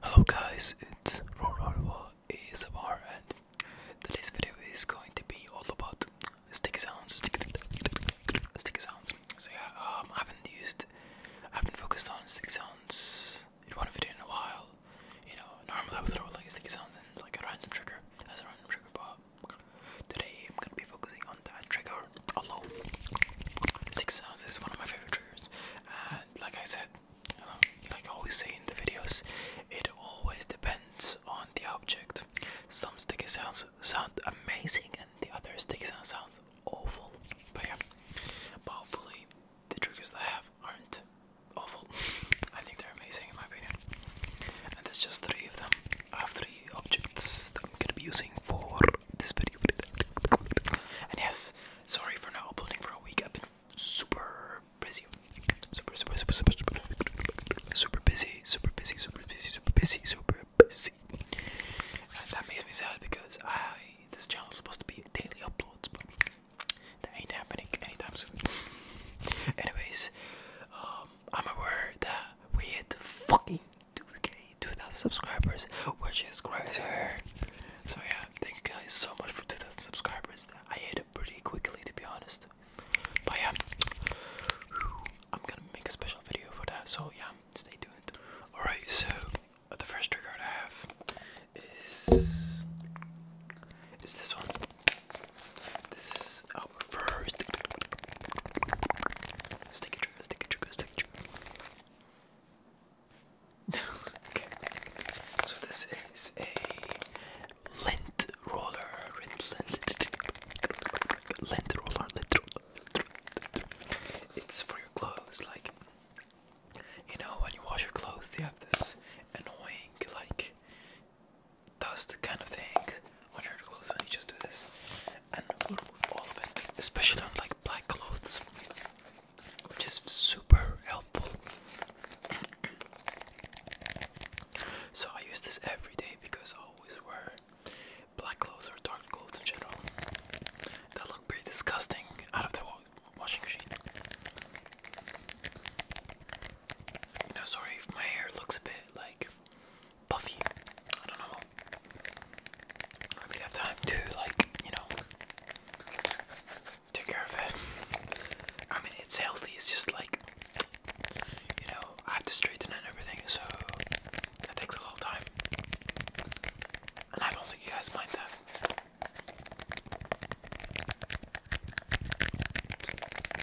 Hello guys, it's Rororwa ASMR and today's video is going to be all about sticky sounds, sticky, sticky sounds. So yeah, um, I haven't used, I haven't focused on sticky sounds in one video in a while. You know, normally I would throw like sticky sounds and like a random trigger as a random trigger, but Today I'm gonna be focusing on that trigger alone. Six sounds is one of my favorite triggers, and like I said, like I always say in the videos, it always depends on the object. Some sticky sounds sound amazing, and the other sticky sound sounds awful. But yeah, but hopefully the triggers I have aren't awful. I think they're amazing in my opinion. And there's just three of them. I have three objects that I'm gonna be using for this video. And yes, sorry for not uploading for a week. I've been super busy. Super super super super super super busy, super busy, super busy, super busy, super busy. And that makes me sad because I this channel is supposed to be daily uploads, but that ain't happening anytime soon. Anyways, um, I'm aware that we hit the fucking 2k, 2,000 subscribers, which is crazy. So yeah, thank you guys so much for 2,000 subscribers. I hit it pretty quickly, to be honest. But yeah, I'm gonna make a special video for that. So yeah, stay tuned. All right, so the first trigger I have is is this one. This is our first sticky trigger, sticky trigger, sticky trigger. okay. So this is a lint roller, lint, lint, lint roller, lint roller. It's for your clothes, like you know, when you wash your clothes, they have this annoying like dust kind of thing on your clothes and you just do this and remove all of it, especially on like black clothes, which is super helpful. so I use this every day because I always wear black clothes or dark clothes in general that look pretty disgusting out of the washing machine. Now, sorry my hair looks a bit like puffy. I don't know. I don't have time to, like, you know, take care of it. I mean, it's healthy, it's just like, you know, I have to straighten it and everything, so it takes a lot time. And I don't think you guys mind that.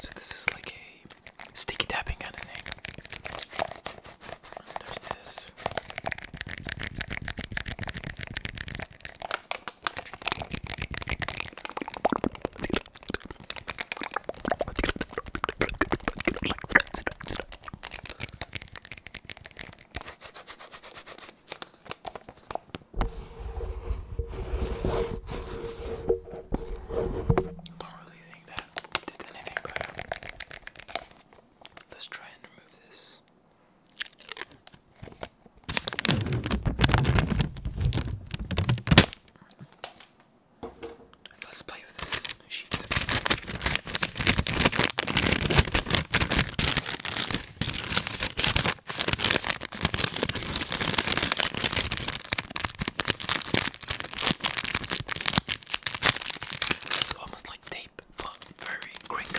So this is like a sticky tapping kind of thing. There's this. Don't really think that did anything better. Let's try and remove this. Let's play with this sheet. It's almost like tape, but very crinkly.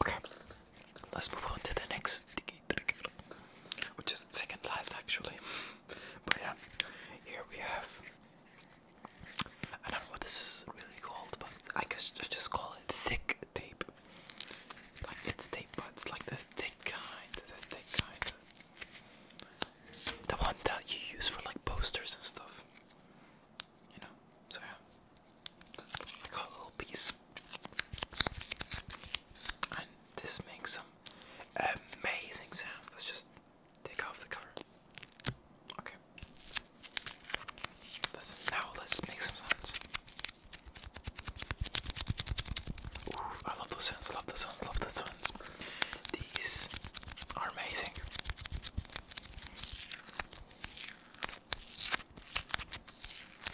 Okay, let's move on to the next sticky trick, which is second last actually. But yeah, here we have. I don't know what this is really called, but I guess I just call it thick tape. Like it's tape, but it's like the thick kind, the thick kind. The one that you use for like posters and stuff you know. So yeah, I got a little piece, and this makes some amazing sounds. Let's just take off the cover. Okay. Listen, now let's make some sounds. Ooh, I love those sounds, love those sounds, love those sounds. These are amazing.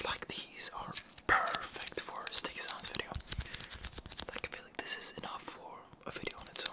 Like these are perfect for a stick sounds video. Like I feel like this is enough for a video on its own.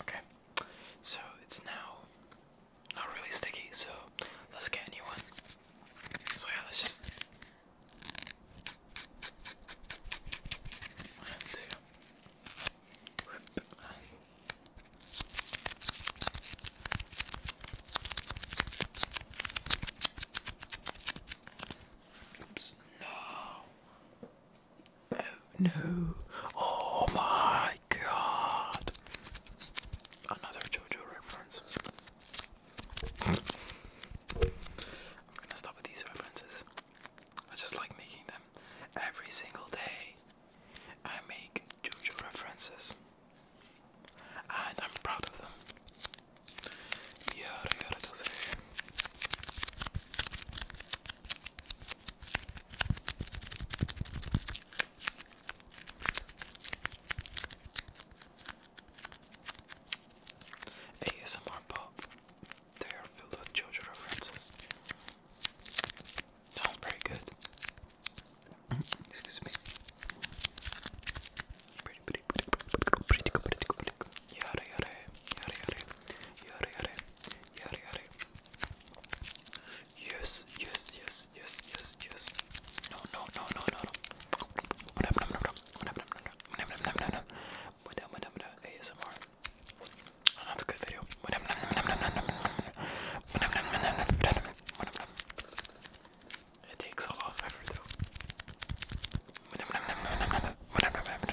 Okay, so it's now not really sticky, so let's get a new one. So yeah, let's just no. Oh no. Oh my god. Another JoJo reference. I'm gonna stop with these references. I just like making them. Every single day, I make JoJo references, and I'm proud of them. Yada yada does ASMR pop they are filled with JoJo references. Sounds pretty good. Excuse me. Muda, muda, muda, ASMR. Another good video. Muda, muda, muda, muda, muda, muda, muda, muda, muda, It takes a lot of effort though. Muda, muda, muda, muda, muda, muda, muda, muda, muda, muda, muda,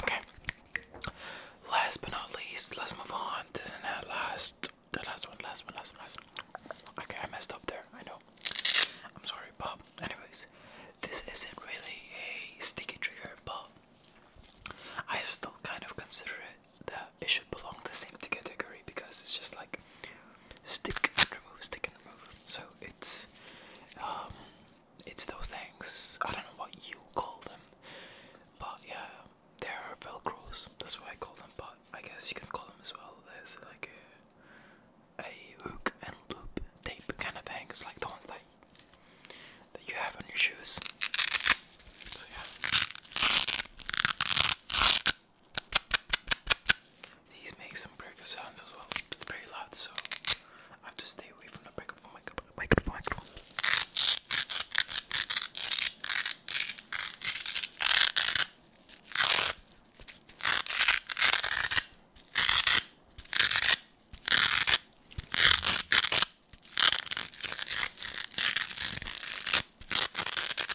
Okay. Last but not least, let's move on to the last, the last one, last one, last one, last one. Okay, I messed up there. I know. I'm sorry, Bob. Anyways, this isn't really a sticky trigger, but I still kind of consider it that it should belong the same category because it's just like stick and remove, stick and remove. So it's um, it's those things. I don't know what you call them, but yeah, they're velcros. That's why I call them. But I guess you can call them as well. There's like a, a hook and loop tape kind of thing. It's like the ones that that you have on your shoes. So yeah. These make some pretty good sounds as well. It's very loud, so I have to stay away from the microphone, microphone, microphone, microphone.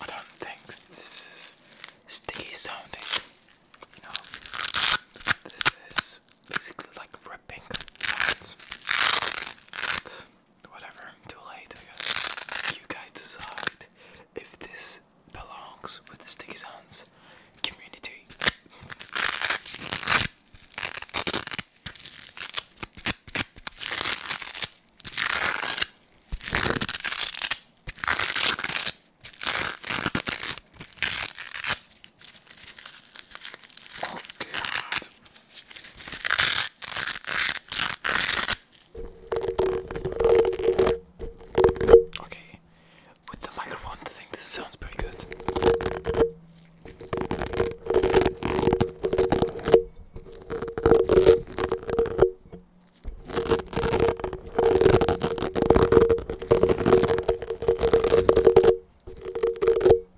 I don't think this is sticky sounding. No, this is basically like ripping whatever, too late, You guys decide if this belongs with the Sticky Sounds community. Oh God. Okay, with the microphone, I think this sounds pretty good.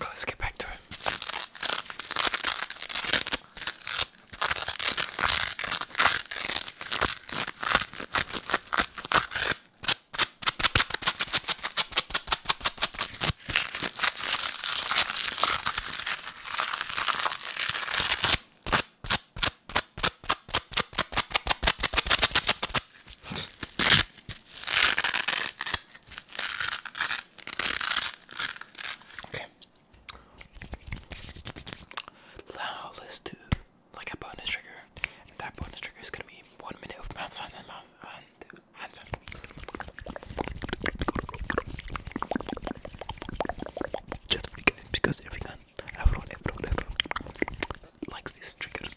Okay, let's get back to it. Okay. Now let's do like a bonus trigger, that bonus trigger is gonna be one minute of mouth sounds and mouth and hands. Just because everyone, everyone, everyone likes these triggers.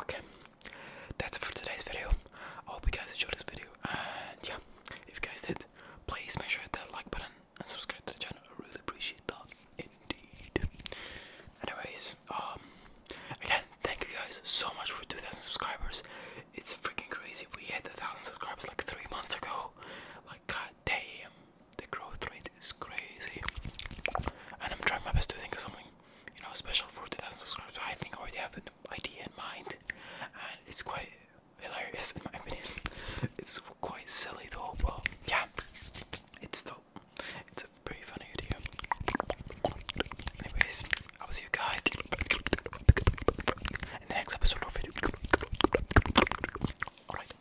Okay, that's it for today's video. I hope you guys enjoyed this video, and yeah, if you guys did, please make sure to hit that like button and subscribe to the channel. I really appreciate that indeed. Anyways, um, again, thank you guys so much for 2,000 subscribers. It's freaking crazy. We hit a thousand subscribers like three months ago. Like, god damn, the growth rate is crazy. And I'm trying my best to think of something you know, special for 2000 subscribers. I think I already have an idea in mind, and it's quite hilarious in my opinion. it's quite silly though, but yeah, it's still it's a pretty funny idea. Anyways, I was see you guys in the next episode of video. Alright.